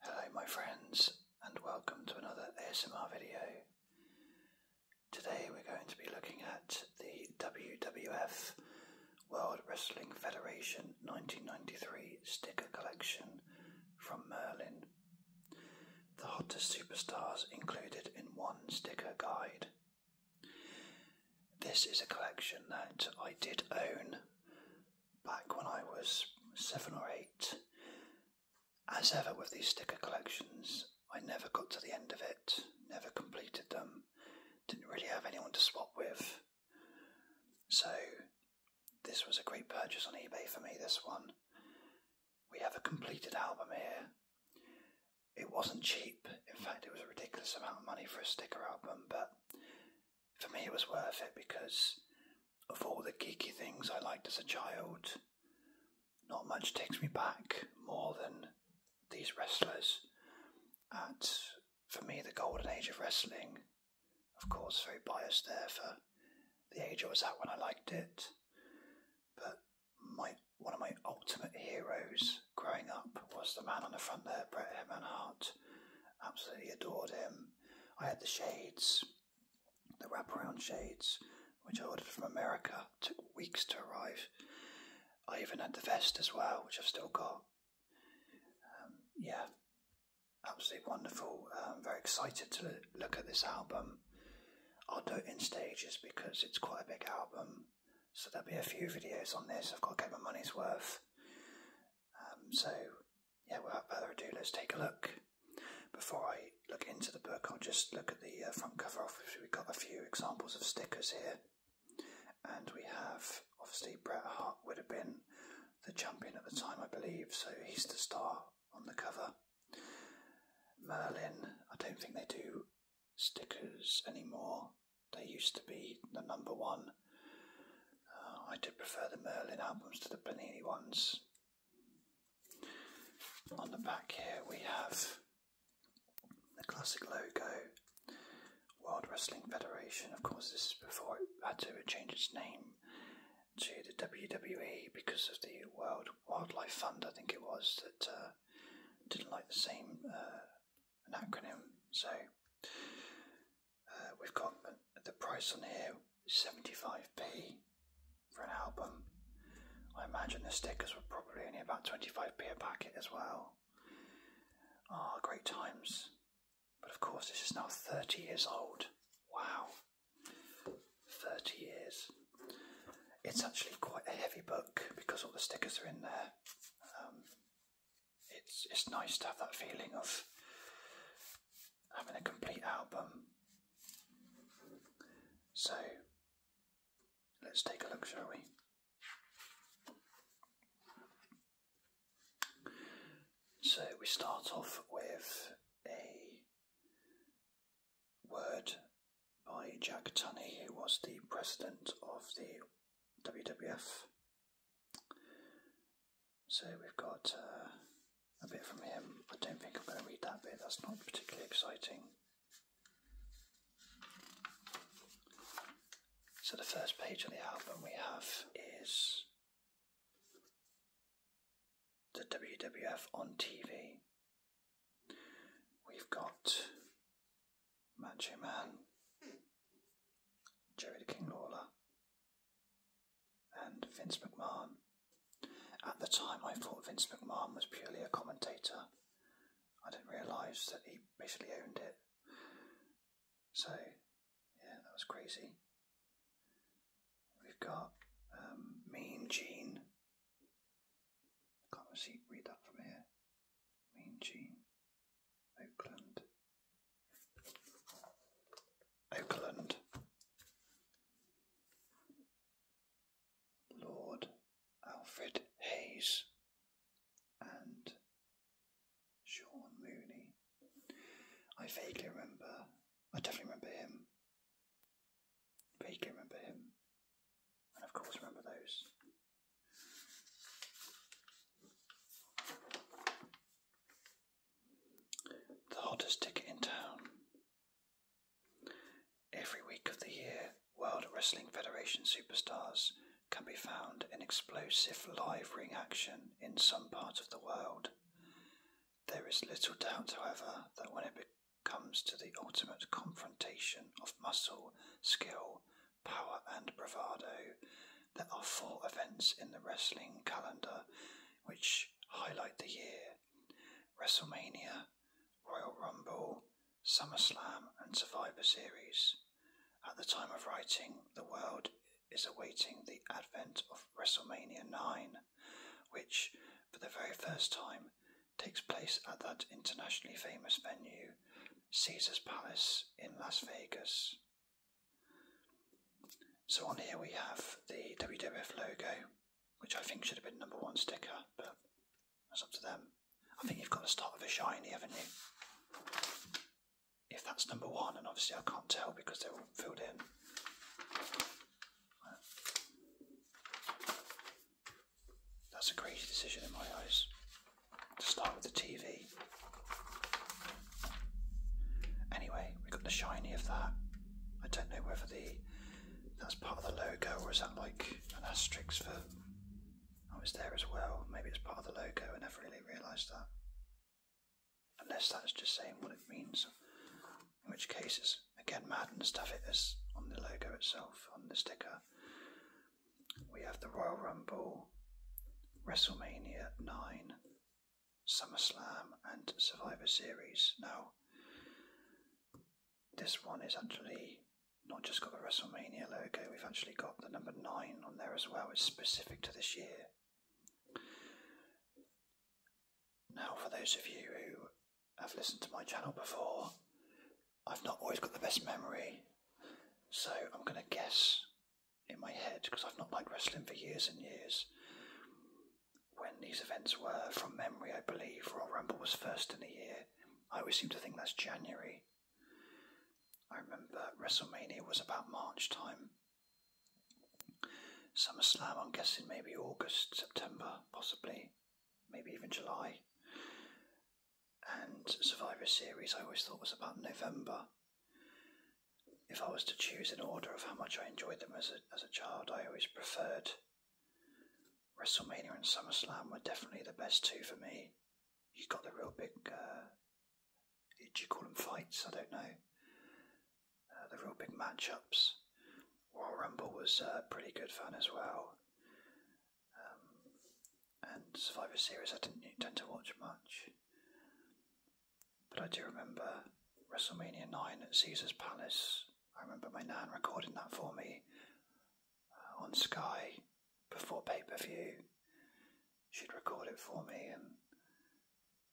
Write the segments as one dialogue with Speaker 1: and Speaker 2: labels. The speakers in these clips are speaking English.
Speaker 1: Hello my friends and welcome to another ASMR video. Today we're going to be looking at the WWF World Wrestling Federation 1993 sticker collection from Merlin. The hottest superstars included in one sticker guide. This is a collection that I did own back when I was seven or eight. As ever with these sticker collections, I never got to the end of it, never completed them, didn't really have anyone to swap with. So, this was a great purchase on eBay for me, this one. We have a completed album here. It wasn't cheap, in fact, it was a ridiculous amount of money for a sticker album, but for me it was worth it because of all the geeky things I liked as a child, not much takes me back more than these wrestlers. At for me the golden age of wrestling, of course, very biased there for the age I was at when I liked it, but my one of my ultimate heroes growing up was the man on the front there, Bret Hitman Hart. Absolutely adored him. I had the shades, the wraparound shades, which I ordered from America, took weeks to arrive. I even had the vest as well, which I've still got. Um, yeah, absolutely wonderful. I'm um, very excited to look at this album. I'll do it in stages because it's quite a big album, so there'll be a few videos on this. I've got to get my money's worth. Um, so, yeah, without further ado, let's take a look. Before I look into the book, I'll just look at the uh, front cover. Obviously, we've got a few examples of stickers here. And we have, obviously, Bret Hart would have been the champion at the time, I believe, so he's the star on the cover. Merlin, I don't think they do stickers anymore. They used to be the number one Oh, I do prefer the Merlin albums to the Panini ones. On the back here we have the classic logo, World Wrestling Federation. Of course, this is before it had to change its name to the WWE because of the World Wildlife Fund, I think it was, that uh, didn't like the same uh, acronym. So uh, we've got the price on here 75p for an album. I imagine the stickers were probably only about 25p a packet as well. Ah, great times. But of course, this is now 30 years old. Wow. 30 years. It's actually quite a heavy book because all the stickers are in there. Um, it's, it's nice to have that feeling of having a complete album. So let's take a look, shall we? So we start off with a word by Jack Tunney, who was the president of the WWF. So we've got uh, a bit from him. I don't think I'm going to read that bit, that's not particularly exciting. So the first page of the album we have is the WWF on TV. We've got Macho Man, Jerry King Lawler, and Vince McMahon. At the time, I thought Vince McMahon was purely a commentator. I didn't realise that he basically owned it. So, yeah, that was crazy. We've got um, Mean Gene. I can't see, read that from here. Mean Gene. Oakland. Oakland, Lord Alfred Hayes, and Sean Mooney. I vaguely remember, I definitely remember him. Vaguely remember him. And of course, remember those. The hottest ticket in town. Every week of the year, World Wrestling Federation superstars can be found in explosive live ring action in some part of the world. There is little doubt, however, that when it comes to the ultimate confrontation of muscle, skill, power, and bravado, there are four events in the wrestling calendar which highlight the year WrestleMania, Royal Rumble, SummerSlam, and Survivor Series. At the time of writing, the world is awaiting the advent of WrestleMania 9, which, for the very first time, takes place at that internationally famous venue, Caesars Palace in Las Vegas. So on here we have the WWF logo, which I think should have been number one sticker, but that's up to them. I think you've got to start with a shiny, haven't you? If that's number one, and obviously I can't tell because they're all filled in. That's a crazy decision in my eyes. To start with the TV, Anyway, we have got the shiny of that. I don't know whether the that's part of the logo or is that like an asterisk for oh, I was there as well. Maybe it's part of the logo. I never really realised that. Unless that's just saying what it means. In which case it's again mad and stuff it is on the logo itself, on the sticker. We have the Royal Rumble, WrestleMania 9, SummerSlam and Survivor Series. Now, this one is actually not just got the WrestleMania logo, we've actually got the number 9 on there as well. It's specific to this year. Now, for those of you who have listened to my channel before, I've not always got the best memory, so I'm going to guess in my head because I've not liked wrestling for years and years. When these events were, from memory, I believe Royal Rumble was first in the year. I always seem to think that's January. I remember WrestleMania was about March time. SummerSlam, I'm guessing maybe August, September, possibly, maybe even July. And Survivor Series, I always thought was about November. If I was to choose in order of how much I enjoyed them as a, as a child, I always preferred WrestleMania and SummerSlam were definitely the best two for me. You got the real big, uh, you call them fights? I don't know. Uh, the real big matchups. Royal Rumble was uh, pretty good fun as well. Um, and Survivor Series, I didn't tend to watch much. But I do remember WrestleMania 9 at Caesar's Palace. I remember my nan recording that for me uh, on Sky before pay per view. She'd record it for me, and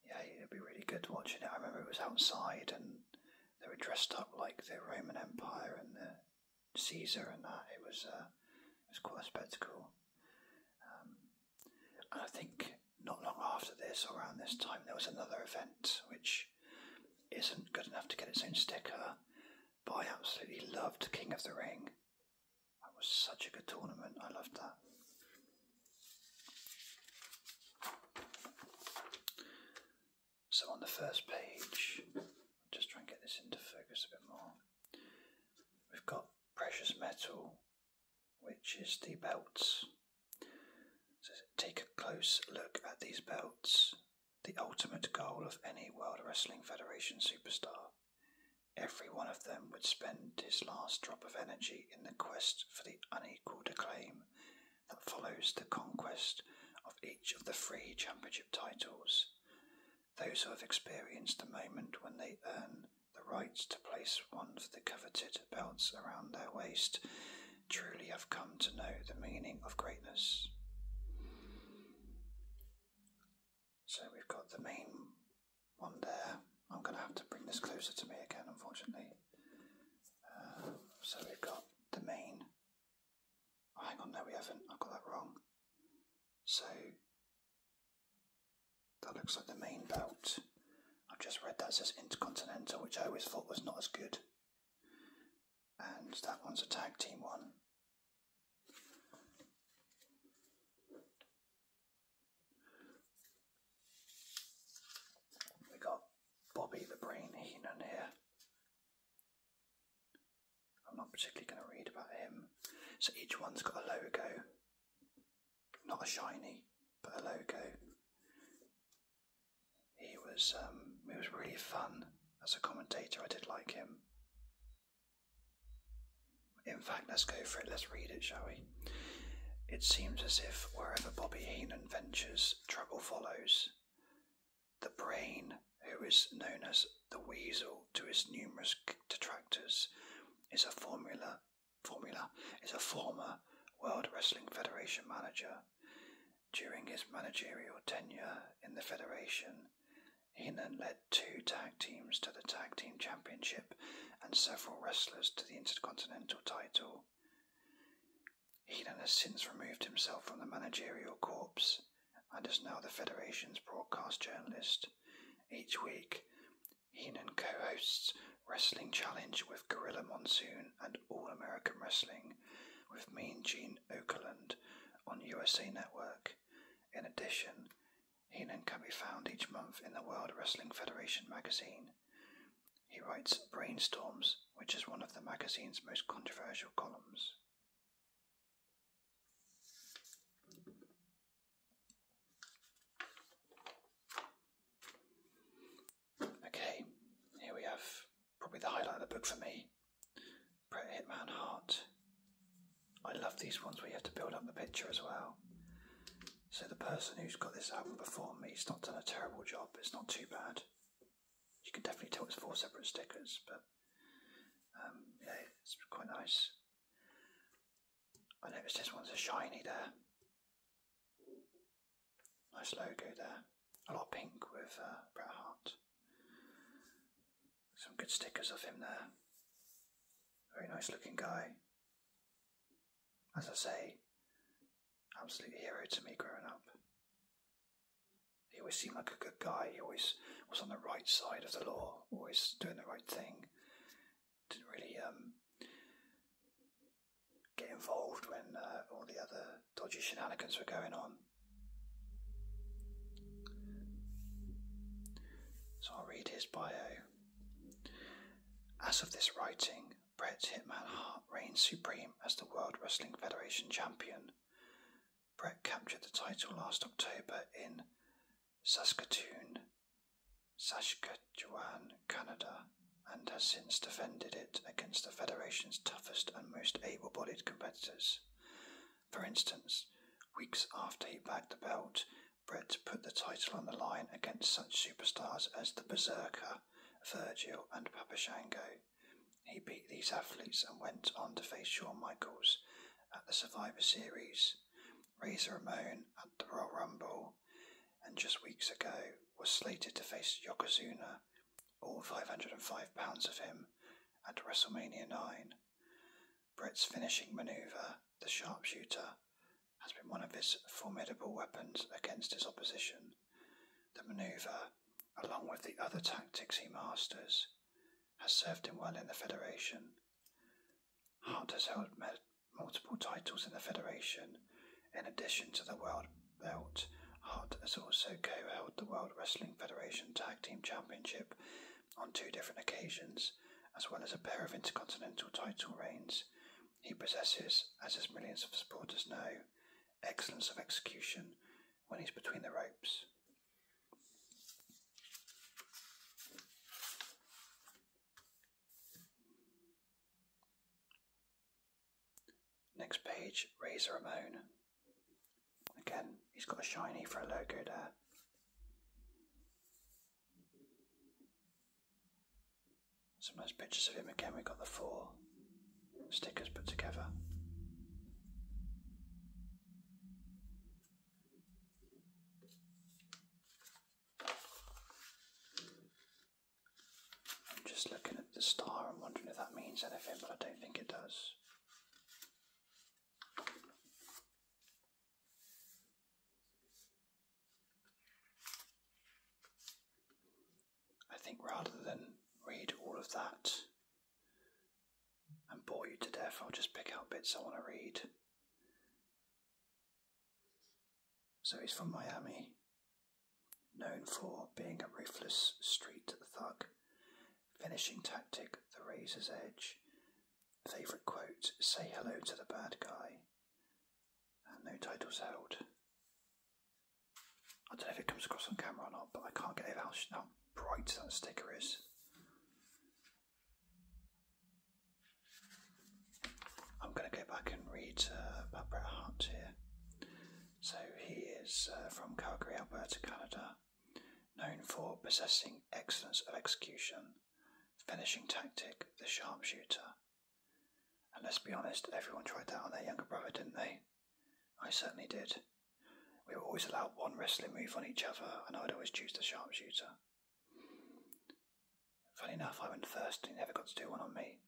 Speaker 1: yeah, it'd be really good watching it. I remember it was outside, and they were dressed up like the Roman Empire and the Caesar and that. It was uh, it was quite a spectacle. Um, I think not long after this, or around this time, there was another event which isn't good enough to get its own sticker, but I absolutely loved King of the Ring. That was such a good tournament, I loved that. So on the first page, I'll just try and get this into focus a bit more. We've got precious metal, which is the belts. take a close look at these belts, the ultimate goal of any World Wrestling Federation superstar. Every one of them would spend his last drop of energy in the quest for the unequalled acclaim that follows the conquest of each of the three championship titles. Those who have experienced the moment when they earn the right to place one of the coveted belts around their waist, truly have come to know the meaning of greatness. So we've got the main one there. I'm going to have to bring this closer to me again, unfortunately. Uh, so we've got the main. Oh, hang on, no, we haven't. I've got that wrong. So that looks like the main belt. I've just read that says Intercontinental, which I always thought was not as good. And that one's a tag team one. We got Bobby the Brain Heenan here. I'm not particularly going to read about him. So each one's got a logo not a shiny, but a logo. He was um, he was really fun as a commentator. I did like him. In fact, let's go for it. Let's read it, shall we? It seems as if wherever Bobby Heenan ventures, trouble follows. The brain, who is known as the weasel to his numerous detractors, is a formula formula is a former World Wrestling Federation manager. During his managerial tenure in the Federation, Heenan led two tag teams to the Tag Team Championship and several wrestlers to the Intercontinental title. Heenan has since removed himself from the managerial corps and is now the Federation's broadcast journalist. Each week, Heenan co hosts Wrestling Challenge with Gorilla Monsoon and All American Wrestling with Mean Gene Okerlund on USA Network. In addition, Heenan can be found each month in the World Wrestling Federation magazine. He writes Brainstorms, which is one of the magazine's most controversial columns. Okay, here we have probably the highlight of the book for me. Hitman Heart. I love these ones where you have to build up the picture as well. So the person who's got this album before me, it's not done a terrible job, it's not too bad. You can definitely tell it's four separate stickers, but um, yeah, it's quite nice. I notice this one's a shiny there. Nice logo there. A lot of pink with uh, Bret Hart. Some good stickers of him there. Very nice looking guy. As I say, absolute hero to me growing up. He always seemed like a good guy. He always was on the right side of the law, always doing the right thing didn't really um, get involved when uh, all the other dodgy shenanigans were going on. So I'll read his bio. As of this writing, Bret Hitman Hart reigns supreme as the World Wrestling Federation champion. Bret captured the title last October in Saskatoon Saskatchewan, Canada, and has since defended it against the Federation's toughest and most able bodied competitors. For instance, weeks after he bagged the belt, Brett put the title on the line against such superstars as the Berserker, Virgil, and Papashango. He beat these athletes and went on to face Shawn Michaels at the Survivor Series, Razor Ramon at the Royal Rumble, and just weeks ago was slated to face Yokozuna, all 505 pounds of him, at WrestleMania 9. Brett's finishing maneuver, the sharpshooter, has been one of his formidable weapons against his opposition. The maneuver, along with the other tactics he masters, has served him well in the Federation. Hart has held multiple titles in the Federation. In addition to the World Belt, Hart has also co held the World Wrestling Federation Tag Team Championship on two different occasions, as well as a pair of intercontinental title reigns. He possesses, as his millions of supporters know, excellence of execution when he's between the ropes. Next page, Razor Ramon. Again, he's got a shiny for a logo there. Some nice pictures of him again. We've got the four stickers put together. I'm just looking at the star I'm wondering if that means anything, but I don't think it does. I think rather than read all of that and bore you to death, I'll just pick out bits I want to read. So he's from Miami, known for being a ruthless street thug. Finishing tactic, the razor's edge. Favourite quote, say hello to the bad guy. And no titles held. I don't know if it comes across on camera or not, but I can't get over how, how bright that sticker is. I'm going to go back and read about uh, Bret Hart here. So he is uh, from Calgary, Alberta, Canada, known for possessing excellence of execution, finishing tactic, the sharpshooter. And let's be honest, everyone tried that on their younger brother, didn't they? I certainly did. We were always allowed one wrestling move on each other, and I'd always choose the sharpshooter. Funny enough, I went first and he never got to do one on me.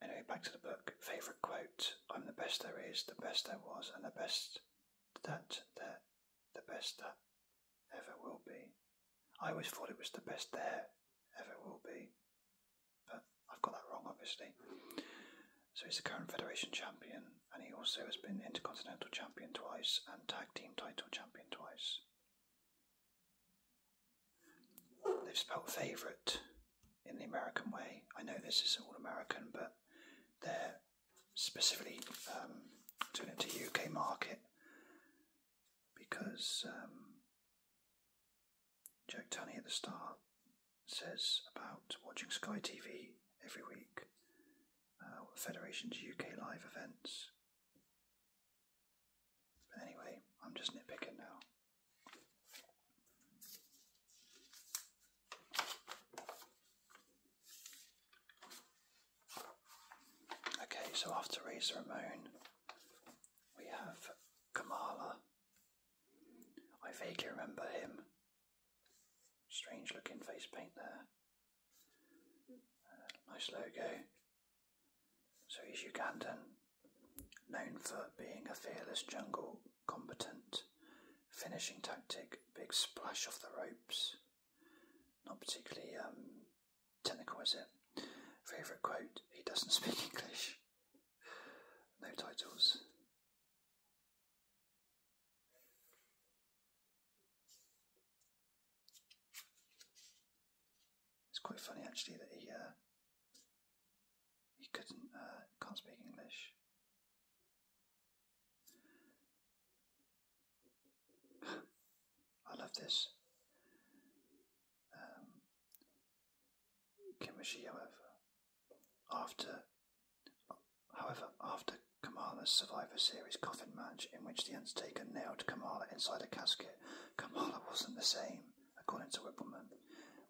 Speaker 1: Anyway, back to the book. Favourite quote I'm the best there is, the best there was, and the best that there, the best that ever will be. I always thought it was the best there ever will be, but I've got that wrong, obviously. So he's the current Federation champion, and he also has been Intercontinental champion twice and Tag Team title champion twice. They've spelled favourite in the American way. I know this is all American, but they're specifically um, doing it to UK market because um, Jack Tunney at the start says about watching Sky TV every week, uh, Federation's UK live events, anyway, I'm just nitpicking now. Okay, so after Razor Ramon, we have Kamala. I vaguely remember him. Strange looking face paint there. Uh, nice logo. So he's Ugandan, known for being a fearless jungle, combatant, finishing tactic, big splash off the ropes. Not particularly um, technical, is it? Favourite quote, he doesn't speak English. No titles. It's quite funny actually that he uh, he couldn't uh, can't speak English. I love this. Um, Kimushi, however, after however after Kamala's Survivor Series coffin match, in which the Undertaker nailed Kamala inside a casket Kamala wasn't the same, according to Whippleman.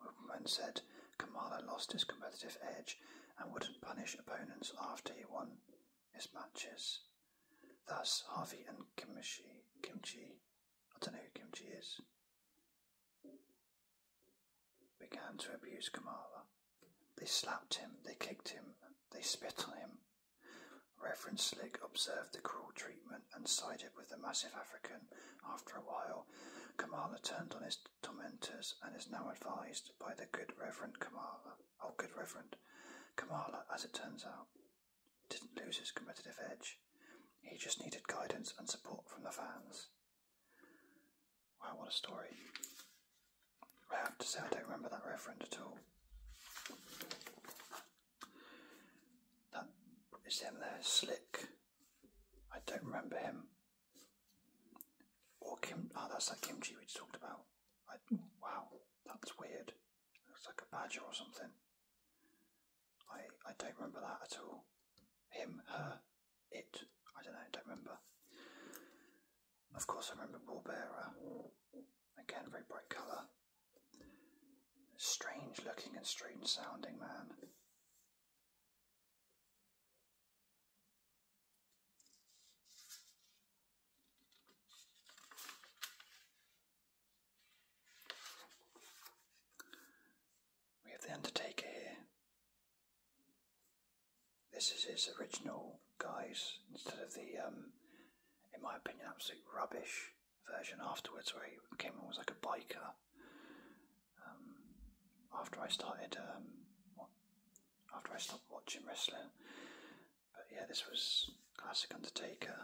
Speaker 1: Whippleman said Kamala lost his competitive edge and wouldn't punish opponents after he won his matches. Thus, Harvey and Kimchi, Kimchi, I don't know who Kimchi is, began to abuse Kamala. They slapped him, they kicked him, they spit on him, Reverend Slick observed the cruel treatment and sided with the massive African. After a while, Kamala turned on his tormentors and is now advised by the good Reverend Kamala. Oh, good Reverend. Kamala, as it turns out, didn't lose his competitive edge. He just needed guidance and support from the fans. Wow, what a story. I have to say, I don't remember that Reverend at all. That is him there, Slick. I don't remember him. Or Kim. Oh, that's that kimchi we talked about. I, wow, that's weird. Looks like a badger or something. I I don't remember that at all. Him, her, it. I don't know. Don't remember. Of course, I remember Bullbearer. Again, very bright colour. Strange looking and strange sounding man. We have the Undertaker here. This is his original guise instead of the, um, in my opinion, absolute rubbish version afterwards where he came in was like a biker. Um, after I started, um, after I stopped watching wrestling, but yeah, this was classic Undertaker.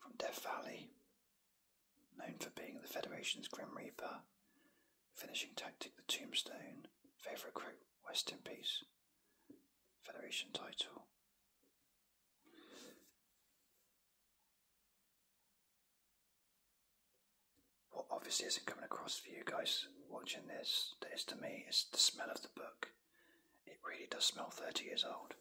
Speaker 1: From Death Valley, known for being the Federation's Grim Reaper, finishing tactic the Tombstone, favourite West in peace. Federation title. What obviously isn't coming across for you guys watching this, that is to me, is the smell of the book. It really does smell 30 years old.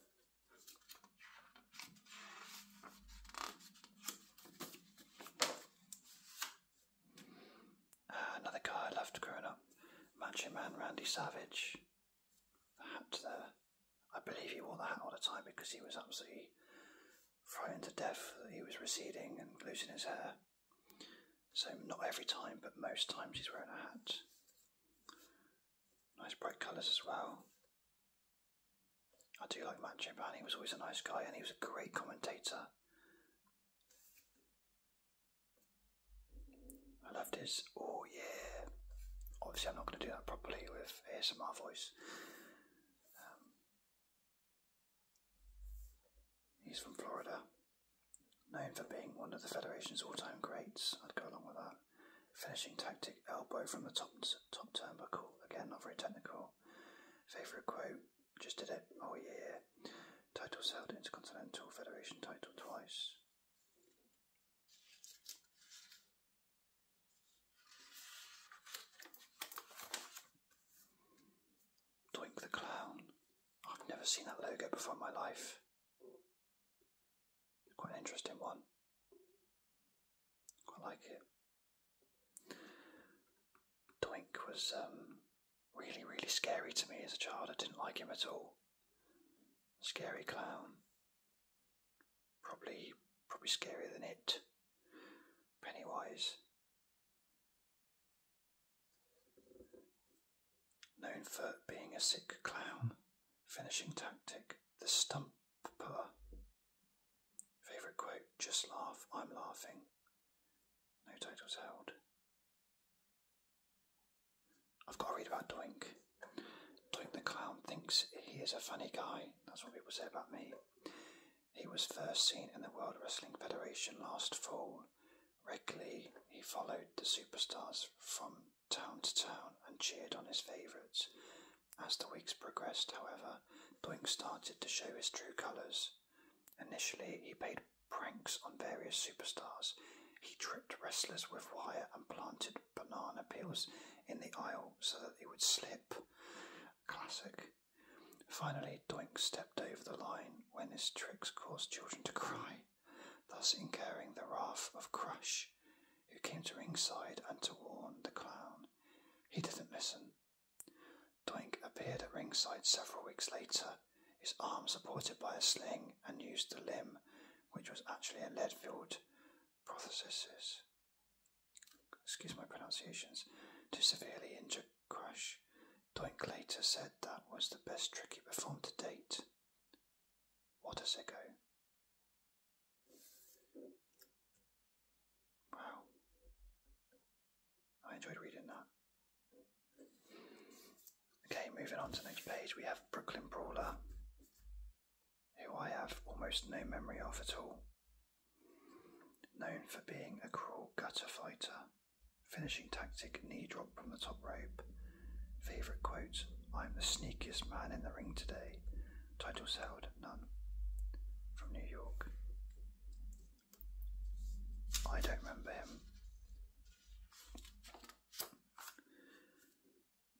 Speaker 1: Ah, another guy I loved growing up, Macho Man Randy Savage. hat there. I believe he wore the hat all the time because he was absolutely frightened to death that he was receding and losing his hair. So not every time, but most times he's wearing a hat. Nice bright colours as well. I do like Macho Man. He was always a nice guy, and he was a great commentator. I love this. Oh yeah. Obviously, I'm not going to do that properly with ASMR voice. Um, he's from Florida, known for being one of the Federation's all-time greats. I'd go along with that. Finishing tactic: elbow from the top top turnbuckle. Again, not very technical. Favorite quote: just did it. Oh yeah. Titles held Intercontinental Federation title twice. Doink the Clown. I've never seen that logo before in my life. Quite an interesting one. Quite like it. Doink was um, really, really scary to me as a child. I didn't like him at all. Scary clown. Probably, probably scarier than it. Pennywise. Known for being a sick clown. Finishing tactic. The stumper. Favourite quote, just laugh, I'm laughing. No titles held. I've got to read about Doink. Doink the clown thinks he is a funny guy. That's what people say about me. He was first seen in the World Wrestling Federation last fall. Regularly, he followed the superstars from town to town and cheered on his favourites. As the weeks progressed, however, Doink started to show his true colours. Initially, he played pranks on various superstars. He tripped wrestlers with wire and planted banana peels in the aisle so that they would slip. Classic. Finally, Doink stepped over the line when his tricks caused children to cry, thus incurring the wrath of Crush, who came to ringside and to warn the clown. He didn't listen, Doink appeared at ringside several weeks later, his arm supported by a sling, and used the limb, which was actually a lead-filled prosthesis, excuse my pronunciations, to severely injure Crash. Doink later said that was the best trick he performed to date. What a sicko. Wow. I enjoyed reading that. Okay, moving on to the next page, we have Brooklyn Brawler, who I have almost no memory of at all. Known for being a cruel gutter fighter, finishing tactic knee drop from the top rope. Favourite quote I'm the sneakiest man in the ring today. Titles held none. From New York. I don't remember him.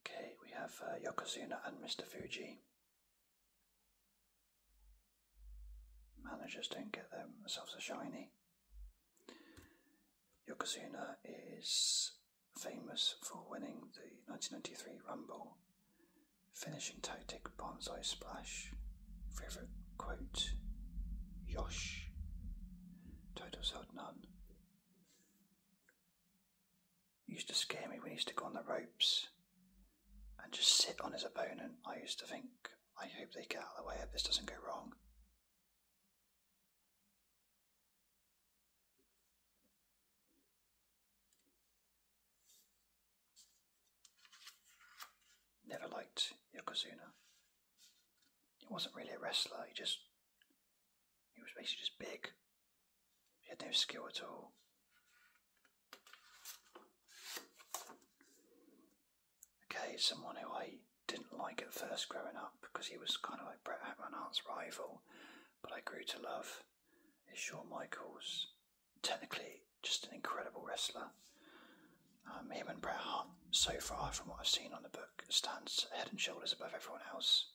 Speaker 1: Okay, we have uh, Yokozuna and Mr. Fuji. Managers don't get themselves a shiny. Yokozuna is famous for winning the 1993 Rumble, finishing tactic Bonsai Splash, Favorite quote Yosh. Titles held none. used to scare me when he used to go on the ropes and just sit on his opponent. I used to think, I hope they get out of the way, if this doesn't go wrong. Never liked Yokozuna. He wasn't really a wrestler, he just. He was basically just big. He had no skill at all. Okay, someone who I didn't like at first growing up because he was kind of like Bret Hartman's rival, but I grew to love is Shawn Michaels. Technically, just an incredible wrestler. Um, him and Bret Hart, so far from what I've seen on the book, stands head and shoulders above everyone else.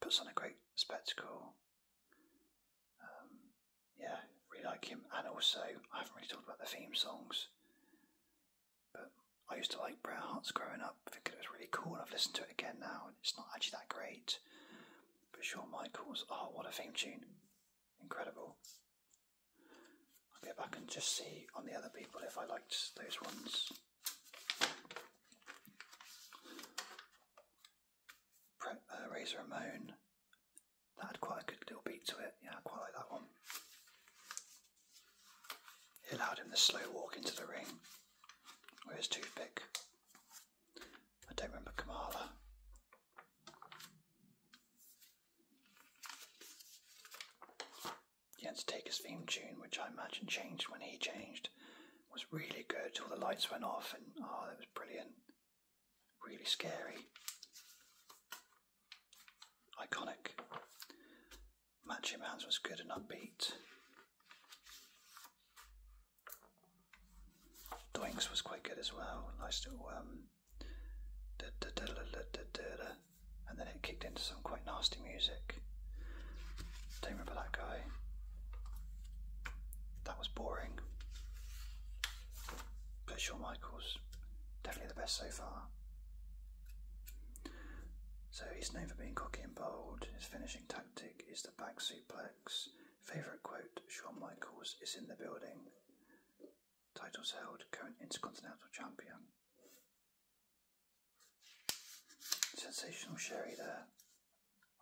Speaker 1: Puts on a great spectacle. Um, yeah, really like him. And also, I haven't really talked about the theme songs, but I used to like Bret Hart's growing up. thinking it was really cool. I've listened to it again now, and it's not actually that great. But Shawn Michaels, oh, what a theme tune! Incredible. I'll get back and just see on the other people if I liked those ones. Pre uh, Ramon, that had quite a good little beat to it. Yeah, quite like that one. It allowed him the slow walk into the ring with his toothpick. I don't remember Kamala. Jens his theme tune, which I imagine changed when he changed, was really good. All the lights went off, and oh, that was brilliant. Really scary. Iconic. Matchy Hands was good and upbeat. Doinks was quite good as well. Nice little um, and then it kicked into some quite nasty music. Don't remember that guy. That was boring. But Shawn Michaels, definitely the best so far. So he's known for being cocky and bold. His finishing tactic is the back suplex. Favourite quote Shawn Michaels is in the building titles held, current Intercontinental Champion. Sensational Sherry there.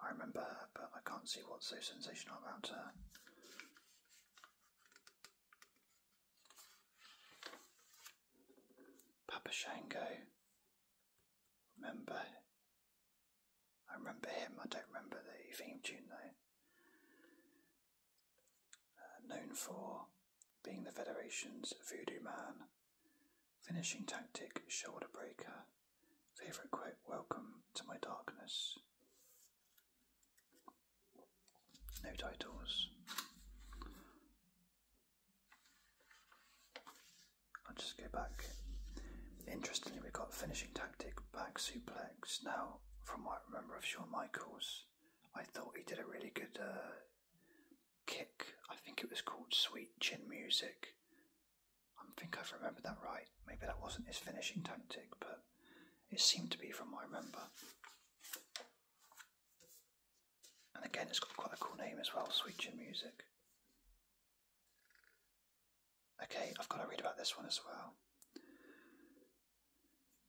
Speaker 1: I remember her, but I can't see what's so sensational about her. Papa Remember. I remember him, I don't remember the theme tune though. Uh, known for being the Federation's voodoo man, finishing tactic, shoulder breaker, favourite quote, welcome to my darkness. No titles. I'll just go back. Interestingly, we got finishing tactic, back suplex. Now, from what I remember of Shawn Michaels, I thought he did a really good uh, kick. I think it was called Sweet Chin Music. I think I've remembered that right. Maybe that wasn't his finishing tactic, but it seemed to be from what I remember. And again, it's got quite a cool name as well, Sweet Chin Music. Okay, I've got to read about this one as well.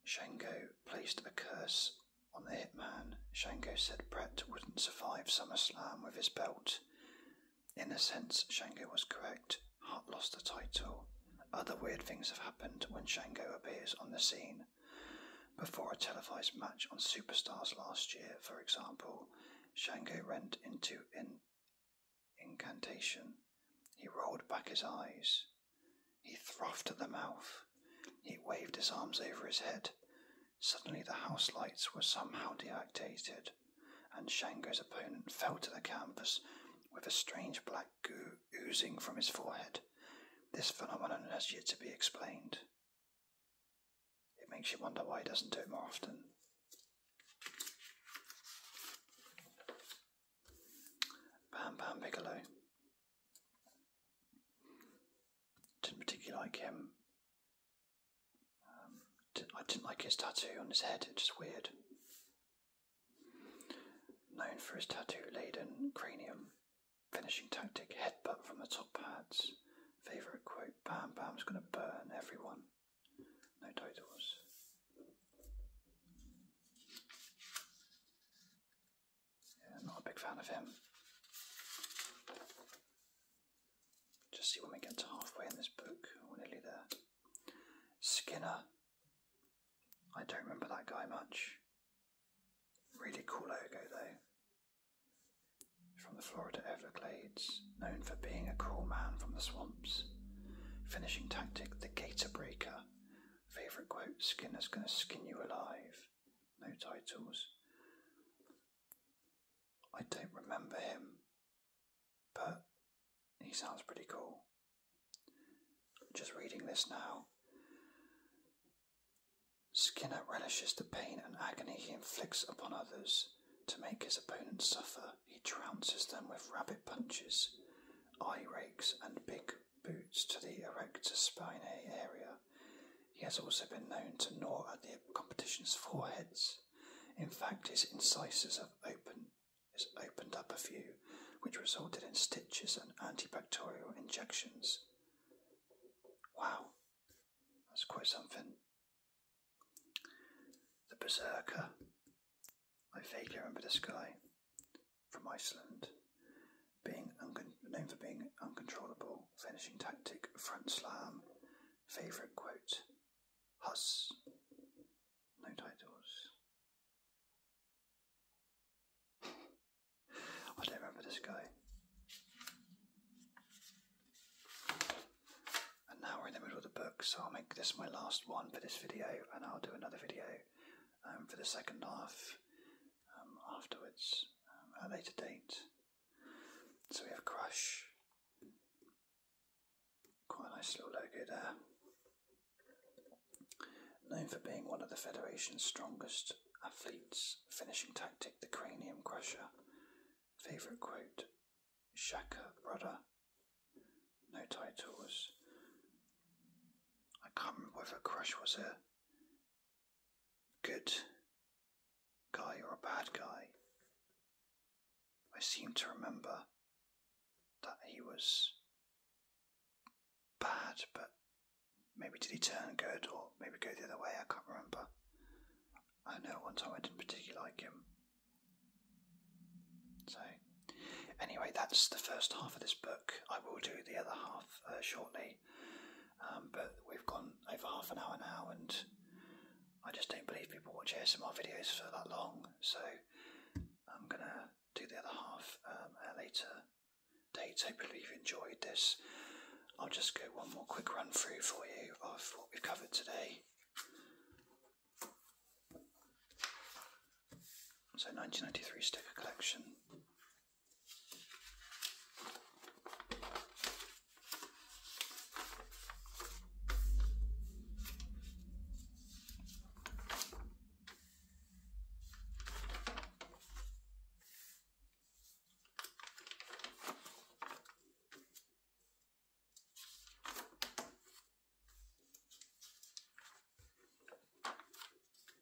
Speaker 1: Shango placed a curse on the hitman. Shango said Brett wouldn't survive SummerSlam with his belt. In a sense, Shango was correct. Hart lost the title. Other weird things have happened when Shango appears on the scene. Before a televised match on Superstars last year, for example, Shango went into an incantation. He rolled back his eyes. He frothed at the mouth. He waved his arms over his head. Suddenly the house lights were somehow deactivated, and Shango's opponent fell to the canvas with a strange black goo oozing from his forehead. This phenomenon has yet to be explained. It makes you wonder why he doesn't do it more often. Bam Bam Bigelow. Didn't particularly like him. Um, I didn't like his tattoo on his head, it's just weird. Known for his tattoo laden cranium, finishing tactic headbutt from the top pads. Favourite quote Bam Bam's gonna burn everyone. No titles. Yeah, not a big fan of him. Just see when we get to halfway in this book. nearly there. Skinner. I don't remember that guy much. Really cool logo though. From the Florida Everglades, known for being a cool man from the swamps. Finishing tactic the Gator Breaker, Favourite quote Skinner's going to skin you alive. No titles. I don't remember him, but he sounds pretty cool. Just reading this now. Skinner relishes the pain and agony he inflicts upon others. To make his opponents suffer, he trounces them with rabbit punches, eye rakes, and big boots to the erector spinae area. He has also been known to gnaw at the competition's foreheads. In fact, his incisors have opened, has opened up a few, which resulted in stitches and antibacterial injections. Wow, that's quite something. The Berserker. I vaguely remember the guy from Iceland, being known for being uncontrollable, finishing tactic, front slam, favourite quote, Huss. No titles. I don't remember this guy. And now we're in the middle of the book, so I'll make this my last one for this video, and I'll do another video um, for the second half um, afterwards um, a later date. So we have Crush. Quite nice little logo there. Known for being one of the Federation's strongest athletes, finishing tactic the Cranium Crusher. Favourite quote Shaka, brother no titles. I can't remember whether Crush was a good guy or a bad guy. I seem to remember that he was bad, but maybe did he turn good or maybe go the other way? I can't remember. I know at one time I didn't particularly like him. So Anyway, that's the first half of this book. I will do the other half uh, shortly, um, but we've gone over half an hour now, and I just don't believe people watch ASMR videos for that long, so I'm gonna do the other half um, at a later date. Hopefully, you've enjoyed this. I'll just go one more quick run through for you of what we've covered today. So 1993 sticker collection.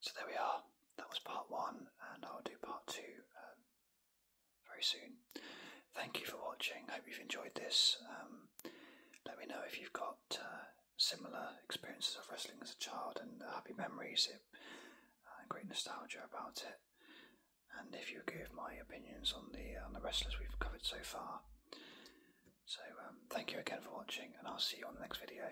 Speaker 1: So there we are. That was part one, and I'll do part two um, very soon. Thank you for watching. I Hope you've enjoyed this. Um, let me know if you've got uh, similar experiences of wrestling as a child and happy memories, it, uh, great nostalgia about it, and if you give my opinions on the uh, on the wrestlers we've covered so far. So um, thank you again for watching, and I'll see you on the next video.